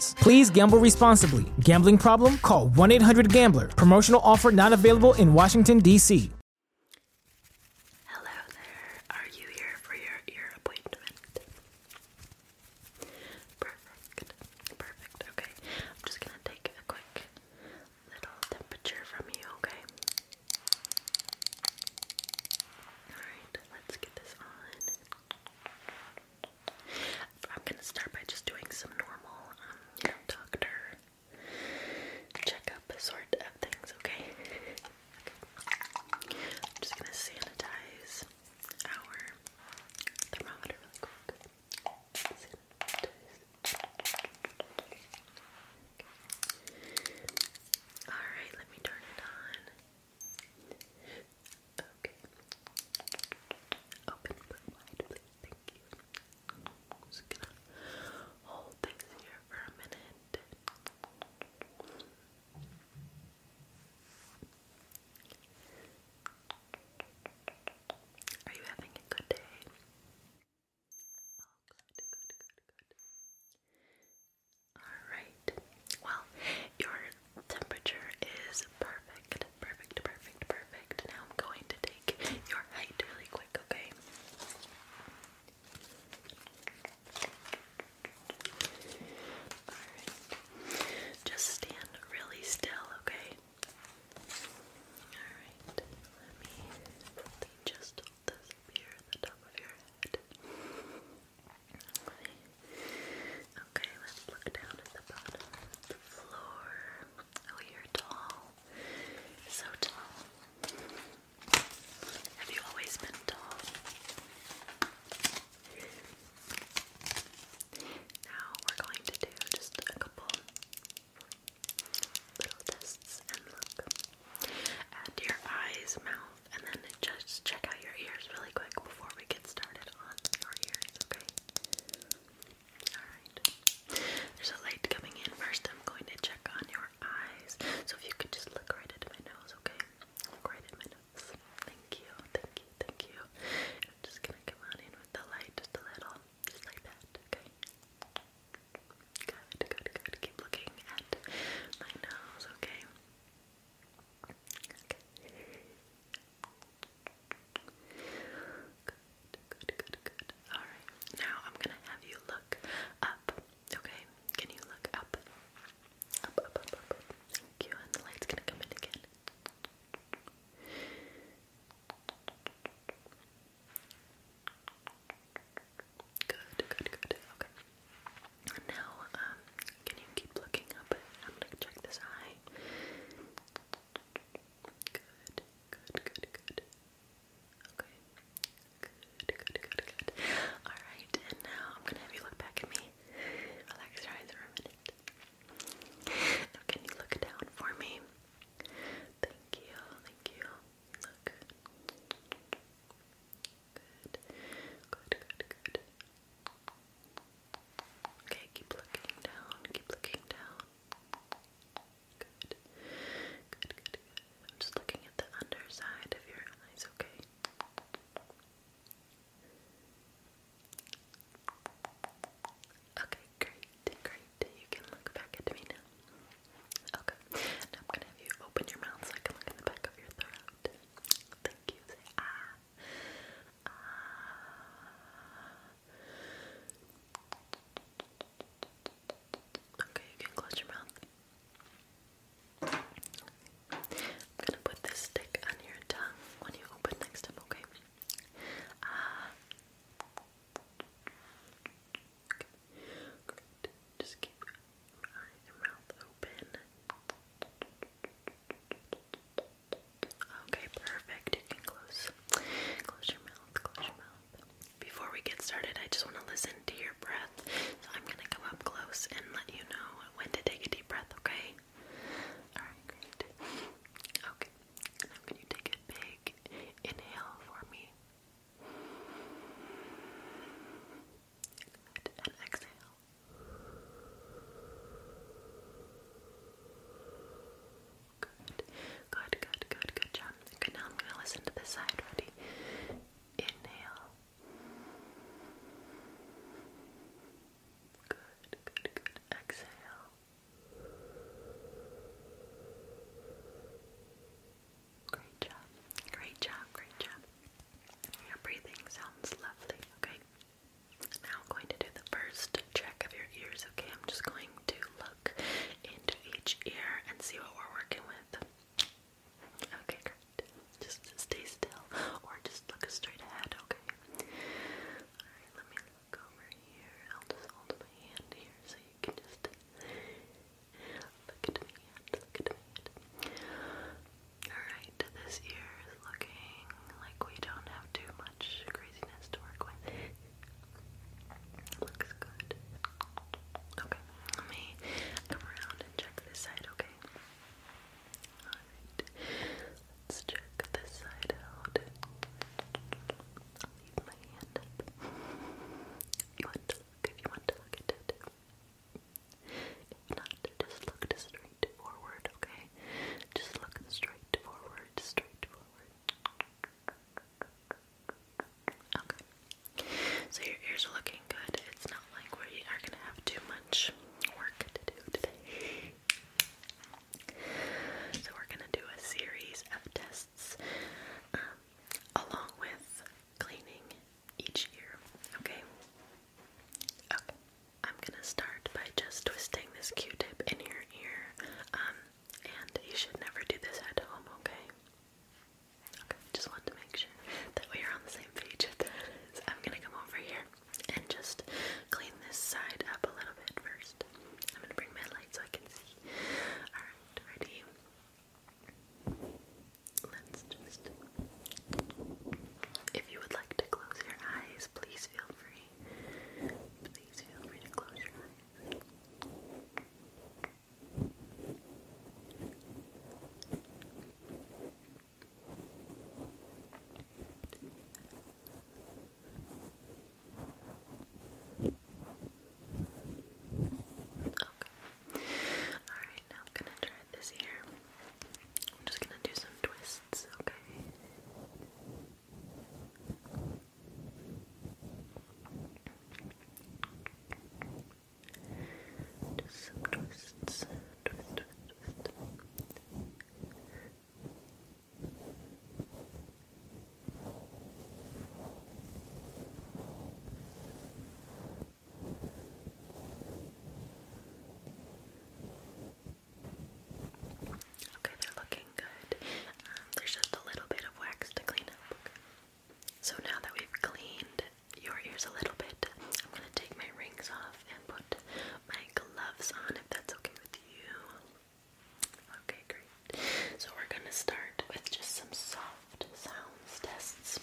Please gamble responsibly. Gambling problem? Call 1 800 Gambler. Promotional offer not available in Washington, D.C. Hello there. Are you here for your ear appointment? Perfect. Perfect. Okay. I'm just going to take a quick little temperature from you, okay? Alright, let's get this on. I'm gonna start by just doing some normal, um, doctor checkup sort of things, okay? I'm just gonna sanitize our thermometer Alright, let me turn it on. Okay. Open wide, please. Thank you. just gonna hold this here for a minute. Are you having a good day? Oh, good, good, good, good. Alright, well, your temperature is perfect. Perfect, perfect, perfect. Now I'm going to take your height really quick, okay? Alright, just stand really still, okay? Alright, let me just hold the top of your head. Okay, let's look down at the bottom the floor. Oh, you're tall. So tall. Have you always been tall? Now we're going to do just a couple little tests and look at your eyes, mouth and then just check out your ears really quick before we get started on your ears, okay? Alright. There's a light coming in. First, I'm going to check on your eyes. So if you could just look right at my nose, okay? right at my nose. Thank you, thank you, thank you. I'm just gonna come on in with the light just a little. Just like that, okay? Good, good, good. Keep looking at my nose, okay? Good, good, good, good. Alright, now I'm gonna have you look up. Okay, can you look up? Up, up, up, up. Thank you, and the light's gonna come in again. Good, good, good. Okay. Now, um, can you keep looking up? I'm gonna check this eye. Good, good, good, good. Okay. Good, good, good, good. Alright, and now I'm gonna have you look back at me. Relax your eyes for a minute. Now, can you look down for me? Thank you, thank you. good, good, good. Good, Okay, keep looking down, keep looking down. Good. Good, good, I'm just looking at the underside of your eyes, okay? Okay, great, great. You can look back at me now. Okay, now I'm gonna have you open your mouth so I can look in the back of your throat. Thank you. ah. Ah. Okay, you can close your mouth. I'm gonna put this stick on your tongue when you open next time, okay? Okay. Uh, just keep your mouth open. Okay, perfect. close close your mouth, close your mouth. Before we get started, I just want to listen to your breath. So I'm gonna come up close and let you know when to take a deep breath, okay? Alright, Okay. Now can you take a big inhale for me? And exhale. Good, good, good, good, good job. Okay, now I'm gonna listen to this side. Ready? Inhale. Good, good, good. Exhale. Great job. Great job. Great job. Your breathing sounds lovely. Okay. Now I'm going to do the first check of your ears, okay? I'm just going to look into each ear and see what we're working with. Okay, great. Just stay still or just look straight ahead, okay? Alright, let me look over here. I'll just hold my hand here so you can just look at my hand, look at my hand. Alright, this ear is looking like we don't have too much craziness to work with. Looks good. Okay, let me come around and check this side, okay? Alright, let's check this side out. I'll leave my hand If you want to if you want to look it not just look straight okay? Just look straight forward, So your ears are looking good. It's not like we are gonna have too much work to do today. So we're gonna do a series of tests um, along with cleaning each ear, okay? Okay, I'm gonna start by just twisting this Q-tip in your ear, um, and you should never do this at home, okay? Okay, just want to make sure that we are on the same page with that is. I'm gonna come over here and just clean this side up a little bit first. I'm gonna bring my light so I can see. Alright, ready? Let's just if you would like to close your eyes, please feel free. Please feel free to close your eyes. Okay. Alright, now I'm gonna try this here. I'm just gonna do some twists, okay? some twists. Twist, twist, twist. Okay, they're looking good. Um, there's just a little bit of wax to clean up. So now that we've cleaned your ears a little bit, I'm gonna take my rings off and put my gloves on if that's okay with you. Okay, great. So we're gonna start with just some soft sounds tests.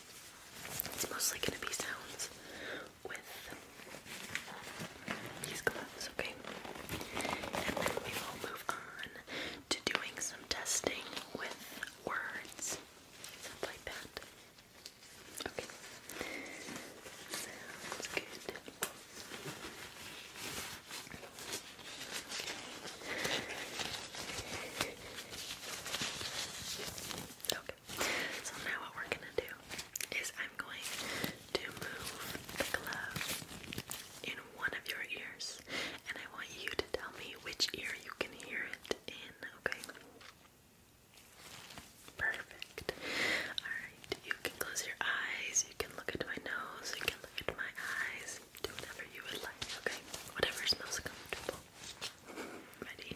It's mostly gonna be sounds with these gloves, okay? And then we will move on to doing some testing with words, stuff like that. Okay. Sounds good. Okay. So now what we're gonna do is I'm going to move the glove in one of your ears, and I want you to tell me which ear you can hear it in, okay? Perfect. Alright, you can close your eyes, you can look at my nose, you can look at my eyes, do whatever you would like, okay? Whatever smells comfortable. Ready?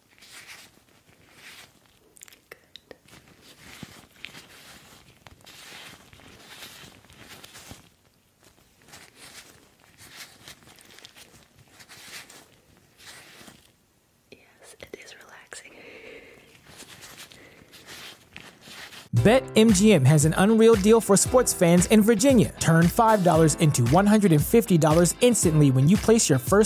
Good. Yes, it is relaxing. BetMGM has an unreal deal for sports fans in Virginia. Turn $5 into $150 instantly when you place your first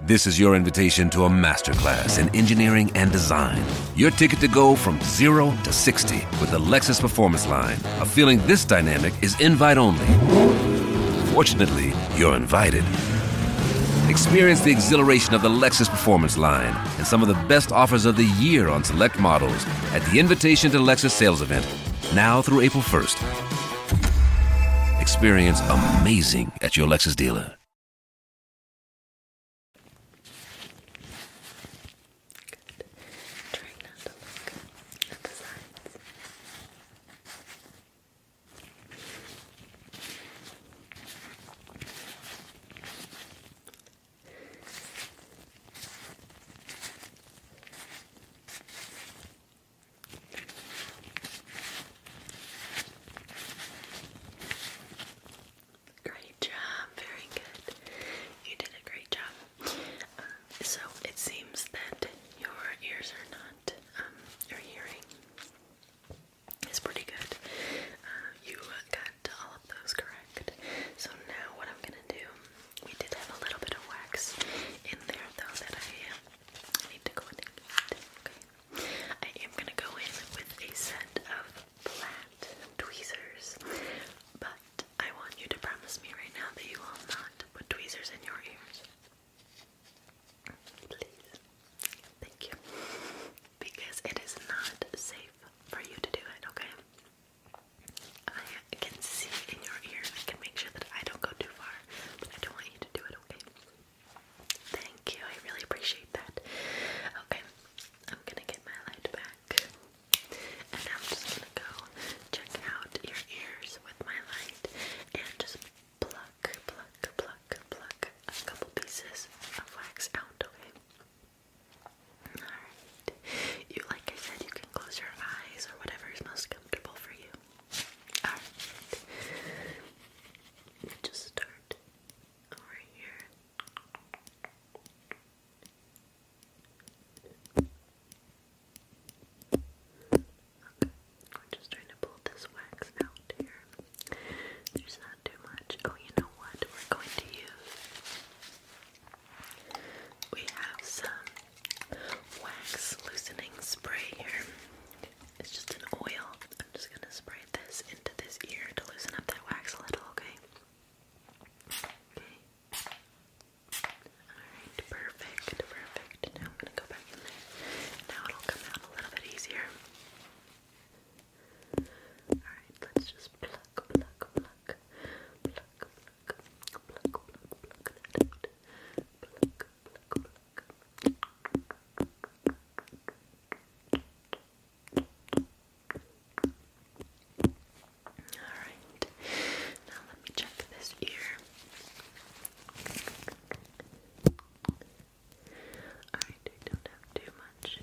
This is your invitation to a masterclass in engineering and design. Your ticket to go from zero to 60 with the Lexus Performance Line. A feeling this dynamic is invite only. Fortunately, you're invited. Experience the exhilaration of the Lexus Performance Line and some of the best offers of the year on select models at the Invitation to Lexus sales event now through April 1st. Experience amazing at your Lexus dealer. Great job, very good. You did a great job. Um, so it seems that your ears are not, um, your hearing is pretty good. Uh, you got all of those correct. So now what I'm gonna do, we did have a little bit of wax in there though that I I need to go in okay. I am gonna go in with a set of flat tweezers, but I want you to promise me right now that you will not put tweezers in your ears. Please. Thank you. Because it is not safe for you to do it, okay? I can see in your ear. I can make sure that I don't go too far. I don't want you to do it, okay? Thank you, I really appreciate that. Okay, I'm gonna get my light back, and I'm just gonna go check out your ears with my light and just pluck, pluck, pluck, pluck a couple pieces of wax out, okay? Alright. You like I said you can close your eyes or whatever is most comfortable for you. Alright. Just start over here. Okay, we're just trying to pull this wax out here. There's not too much. Oh, you know what? We're going to use. We have some wax loosening spray here. It's just an oil. I'm just gonna spray this into this ear to loosen up that wax a little, okay? Okay. Alright, perfect, perfect. Now I'm gonna go back in there. Now it'll come out a little bit easier. Alright, let's just pluck, pluck, pluck, pluck, pluck, pluck, pluck, pluck that out. Pluck, pluck, pluck, Alright, now let me check this ear. Alright, I don't have too much.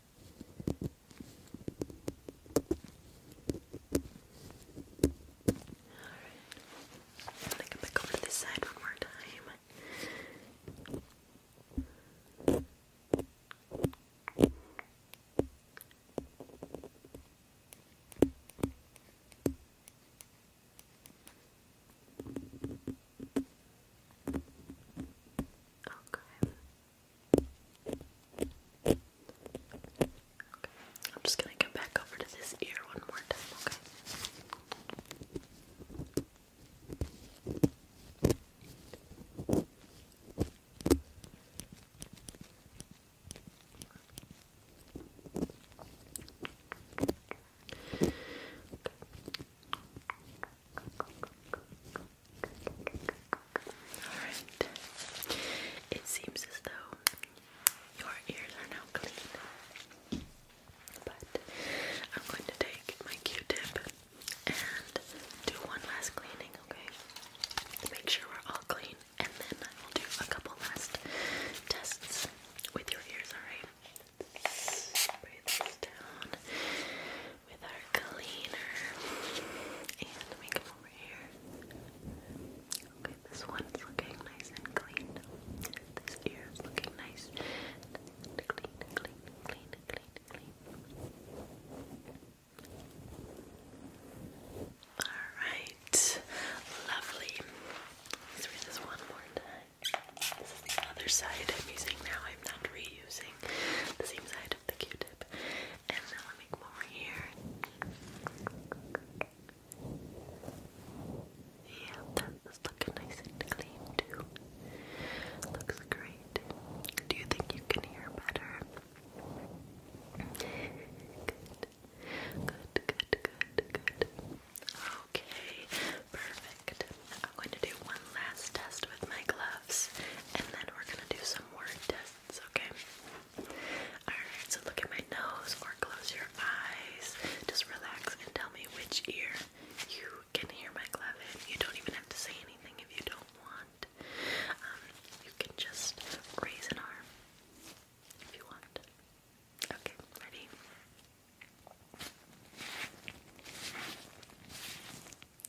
Alright. Take a pick over to this side one more time. Okay. Okay. I'm just gonna come back over to this ear one more time, okay? Alright. It seems as though your ears are now clean. But I'm going to take my Q tip and do one last cleaning, okay? To make sure we're all clean. And then I will do a couple last tests with your ears, alright? with our cleaner. And let me come over here. Okay, this one's looking nice and clean. This ear looking nice. Clean, clean, clean, clean, clean. Alright. Lovely. Let's read this one more time. This is the other side I'm using now. I'm not reusing the same side of the Q-tip. And then i make more here. Yeah, that's looking nice and clean too. Looks great. Do you think you can hear better? Good. Good, good, good, good. Okay, perfect. I'm going to do one last test with my gloves and then we're going to do some word tests sense, okay? Alright, so look at my nose or close your eyes. Just relax and tell me which ear you can hear my glove You don't even have to say anything if you don't want. Um, you can just raise an arm if you want. Okay, ready?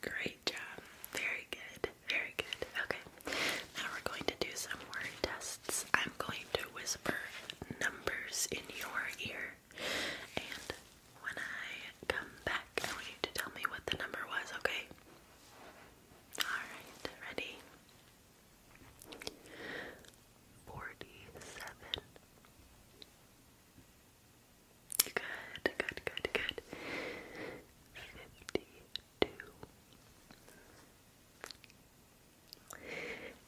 Great job. Very good. Very good. Okay. Now we're going to do some word tests. I'm going to whisper numbers in your ear. And when I come back, I want you to tell me what the number was, okay? Alright, ready? Forty seven. Good, good, good, good. Fifty two.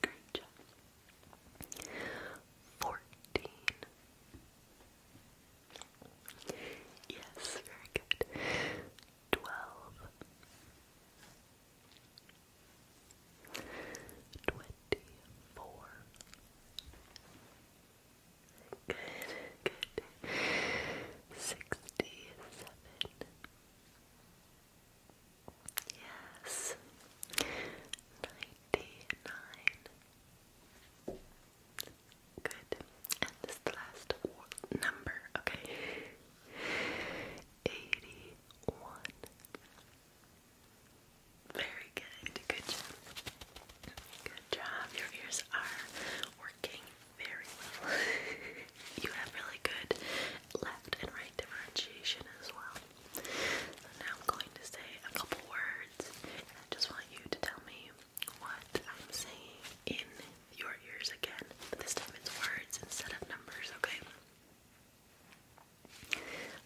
Great job. Fourteen. Yes, very good. Twelve. Twenty-four. Good, good. Sixty-seven. Yes. Ninety-nine. Good. And this is the last number, okay? 81. Very good. Good job. Good job. Your ears are working very well. you have really good left and right differentiation as well. now I'm going to say a couple words. I just want you to tell me what I'm saying in your ears again, but this time it's words instead of numbers, okay?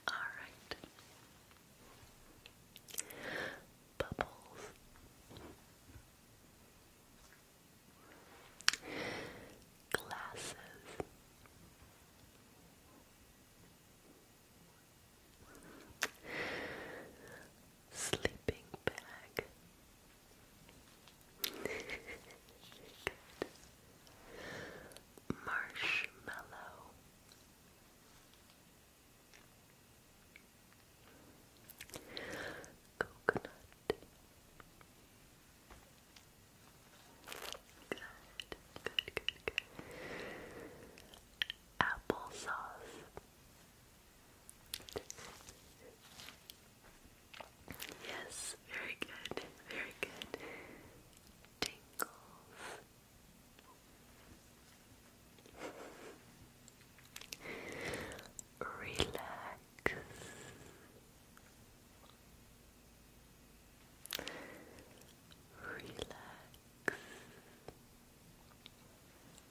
Alright. Bubbles. Glasses sleeping bag. Marshmallow. Coconut. good, good, good. Applesauce. Yes, very good, very good. Tingles. Relax. Relax.